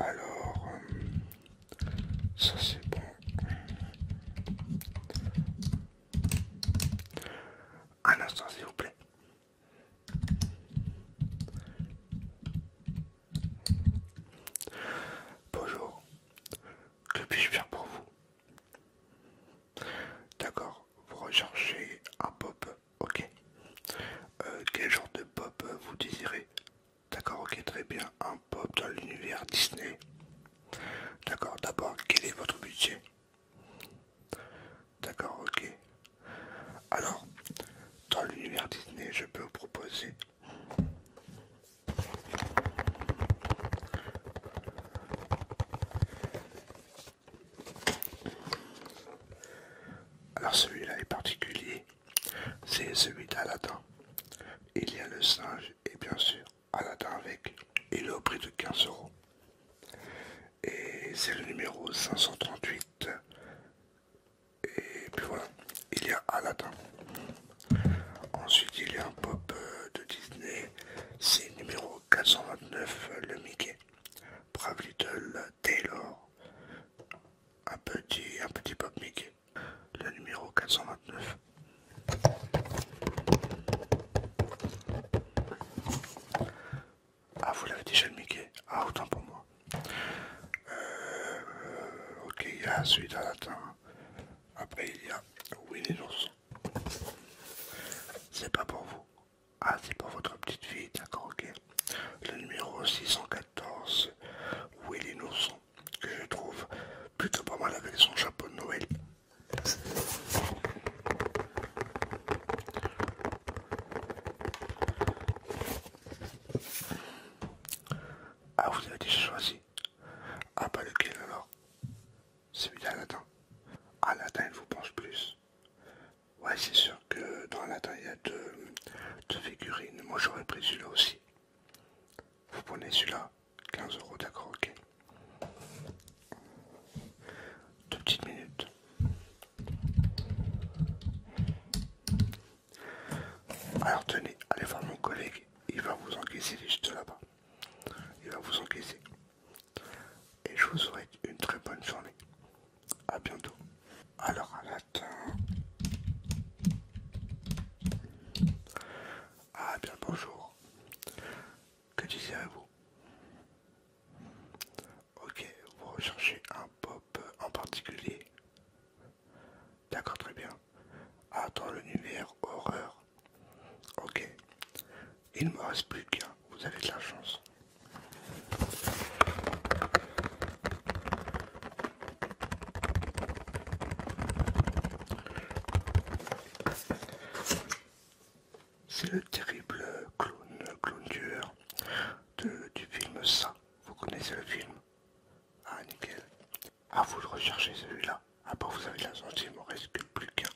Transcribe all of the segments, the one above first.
Alors, euh, ça c'est bon. Un instant s'il vous plaît. Bonjour, que puis-je faire pour vous D'accord, vous recherchez un pop, ok. Euh, quel genre de pop vous désirez D'accord, ok, très bien, un pop dans l'univers Disney. D'accord, d'abord, quel est votre budget D'accord, ok. Alors, dans l'univers Disney, je peux vous proposer alors celui-là est particulier, c'est celui d'Aladin. Il y a le singe et bien sûr Aladdin avec. Il est au prix de 15 euros. Et c'est le numéro 538 et puis voilà, il y a Aladdin. Ensuite, il y a un pop euh, de Disney, c'est numéro 429, le Mickey. Brave Little Taylor, un petit, un petit pop Mickey, le numéro 429. Ah, vous l'avez déjà le Mickey Ah, autant pour moi. Euh, ok, il y a celui d'un Après, il y a Willy l'ours. C'est pas pour vous. Ah, c'est pour votre petite fille, d'accord, ok. Le numéro 614, Willy Nourson, que je trouve plutôt pas mal avec son chapeau de Noël. Ah, vous avez déjà choisi Ah, pas lequel alors Celui-là, latin. Ah, latin, il vous pense plus. Ouais, c'est sûr que dans latin, il y a deux, deux figurines. Moi, j'aurais pris celui-là aussi. Vous prenez celui-là 15 euros, d'accord, ok. Deux petites minutes. Alors tenez, allez voir mon collègue, il va vous encaisser, juste là-bas. Il va vous encaisser. Et je vous souhaite une très bonne journée. A bientôt. Alors à fin. Ah bien bonjour. Que disiez vous Ok, vous recherchez un pop en particulier D'accord, très bien. Ah, le l'univers horreur. Ok. Il me reste plus qu'un. Vous avez de la chance. C'est le terrible clown, clown tueur du film Ça. Vous connaissez le film Ah, nickel. Ah, vous le recherchez celui-là. Ah, vous avez la chance, il m'en reste plus qu'un.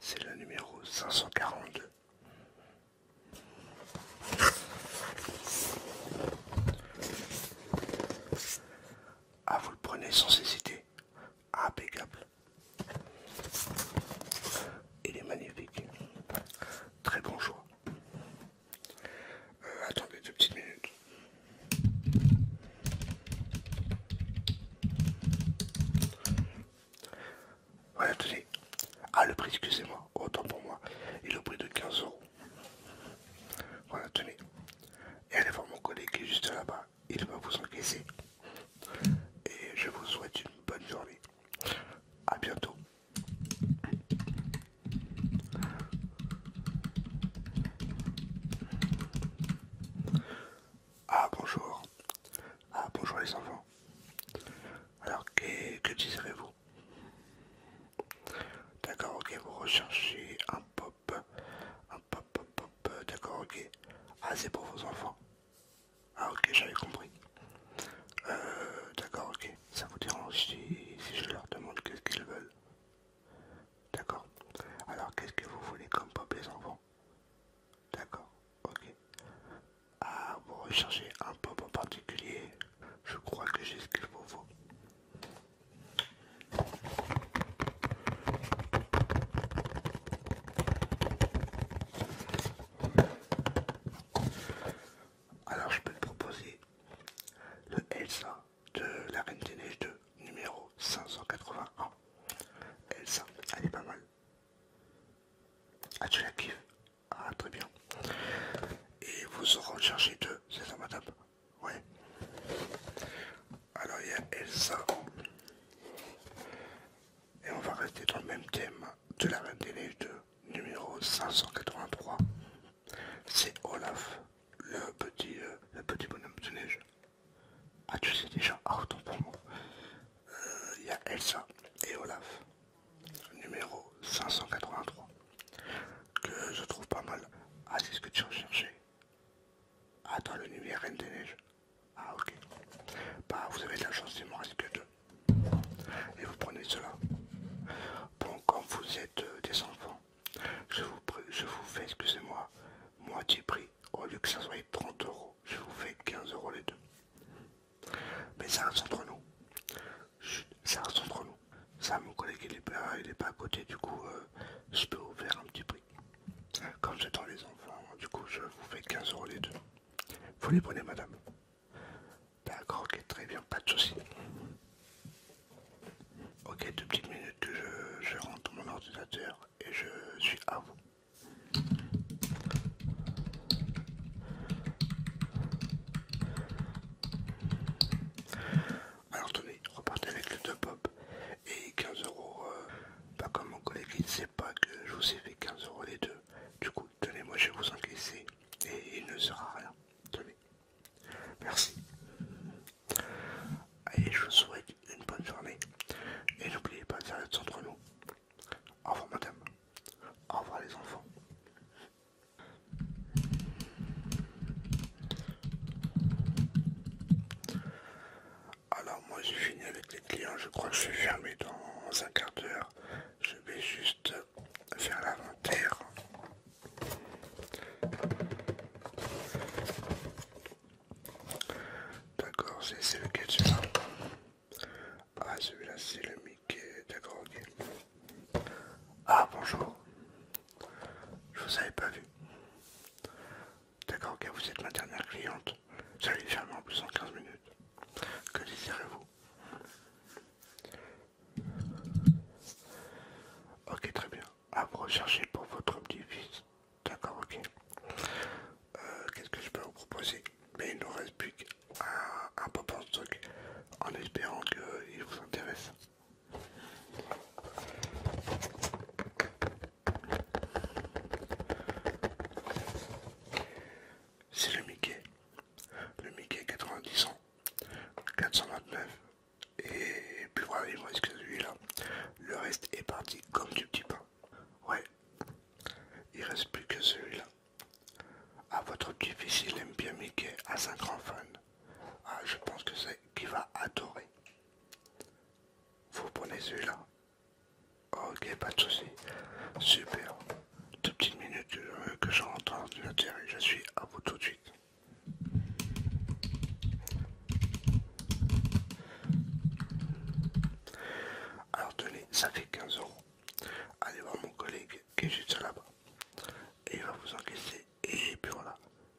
C'est le numéro 542. Ah, vous le prenez sans hésiter impeccable. Il est magnifique. Très bon choix. Euh, attendez deux petites minutes. voilà tenez, à ah, le prix, excusez-moi. Autant pour moi. Il est au prix de 15 euros. Voilà, tenez. Et allez voir mon collègue qui est juste là-bas il va vous encaisser. Et je vous souhaite une bonne journée. à bientôt. Ah bonjour. Ah bonjour les enfants. Alors que, que vous D'accord, ok, vous recherchez un pop euh, d'accord, ok. Ah, c'est pour vos enfants. Ah, ok, j'avais compris. Euh, d'accord, ok. Ça vous dérange si, je leur demande qu'est-ce qu'ils veulent D'accord. Alors, qu'est-ce que vous voulez comme pop les enfants D'accord, ok. Ah, vous recherchez un pop en particulier Je crois que j'ai ce qu'il vous faut. Alors je peux te proposer le Elsa de la Reine des Neiges 2, numéro 581. Elsa, elle est pas mal. Ah tu la kiffes Ah très bien. Et vous aurez chargé deux, c'est ça madame oui. Alors il y a Elsa. Et on va rester dans le même thème de la Reine des Neiges 2, numéro 583. C'est Olaf, le petit, euh, le petit bonhomme de neige. Ah tu sais déjà, ah autant pour moi. Euh, il y a Elsa et Olaf, numéro 583, que je trouve pas mal. Ah c'est ce que tu recherchais. Attends le numéro, Reine des Neiges. Ah, ok. Bah, vous avez de la chance, il m'en reste que deux. Et vous prenez cela. Bon, quand vous êtes euh, des enfants, je vous, je vous fais, excusez-moi, moitié prix. Au lieu que ça soit 30 euros, je vous fais 15 euros les deux. Mais ça reste entre nous. ça reste entre nous. Ça, mon collègue, il est pas, il pas à côté, du coup, euh, je peux vous faire un petit prix. Quand j'attends les enfants, du coup, je vous fais 15 euros les deux. Vous les prenez, madame D'accord, ok, très bien, pas de soucis. Ok, deux petites minutes que je, je rentre mon ordinateur et je suis à vous. Alors tenez, repartez avec le top et 15 euros. Euh, pas comme mon collègue, il ne sait pas que je vous ai fait 15 euros les deux. Du coup, tenez-moi, je vais vous encaisser et il ne sera rien. Tenez. Merci. Allez, je vous souhaite une bonne journée. Et n'oubliez pas de faire centre nous. Au revoir madame. Au revoir les enfants. Alors moi j'ai fini avec les clients, je crois que je suis fermé dans un quart d'heure. Je vais juste faire l'inventaire. D'accord, c'est le celui-là Ah celui-là c'est le Mickey, d'accord ok. Ah bonjour, je vous avais pas vu. D'accord, ok, vous êtes ma dernière cliente. Salut, allait en plus en 15 minutes. Que désirez-vous Ok, très bien. À vous rechercher pour votre petit-fils. D'accord, ok. Euh, qu'est-ce que je peux vous proposer Mais il ne nous reste plus qu'à un, peu pop en truc en espérant qu'il vous intéresse. C'est le Mickey, le Mickey 90 ans, 429. Et puis voilà, il me reste que celui-là. Le reste est parti comme du petit pain. Ouais, il reste plus que celui-là. À votre difficile fils il aime bien Mickey. Ah, je pense que c'est qu'il va adorer. Vous prenez celui-là. Ok, pas de souci. Super. Deux petites minutes que euh, je rentre dans l'ordinateur et je suis à vous tout de suite. Alors tenez, ça fait 15 euros. Allez voir mon collègue qui est juste là-bas. Et il va vous encaisser. Et puis voilà,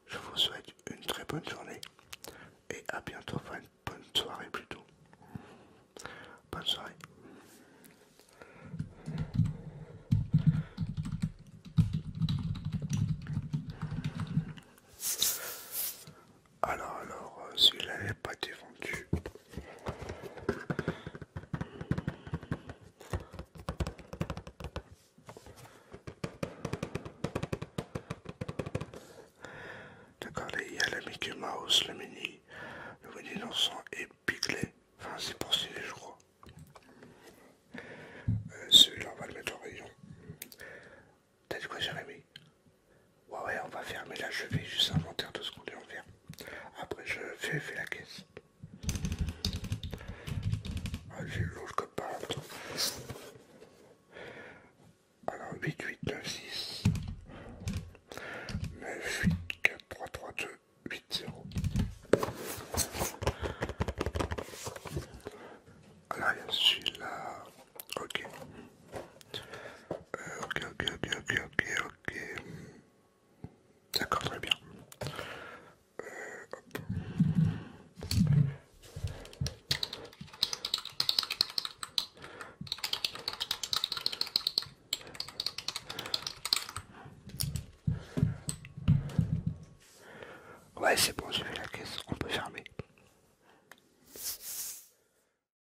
je vous souhaite une très bonne journée. Et à bientôt, enfin une bonne soirée plutôt. Bonne soirée. Alors, alors, euh, s'il là n'est pas défendu. D'accord, il y a le Mickey Mouse, le mini, le mini dansant et Piglet. Enfin, c'est pour celui-là je crois. Euh, celui-là, on va le mettre en rayon. T'as dit quoi, Jérémy Ouais, ouais, on va fermer là je vais juste inventaire de ce qu'on vient. en faire. Après, je fais, fais la caisse. Allez, ah, J'ai l'autre comme par Alors, 8, 8, 9, 6, 9, 8, 4, 3, 3, 2, 8, 0. Alors, il y a celui-là. Ok. Euh, ok, ok, ok, ok, ok, ok. Ok. D'accord, très bien. Euh, ouais, c'est bon, j'ai fait la caisse, on peut fermer.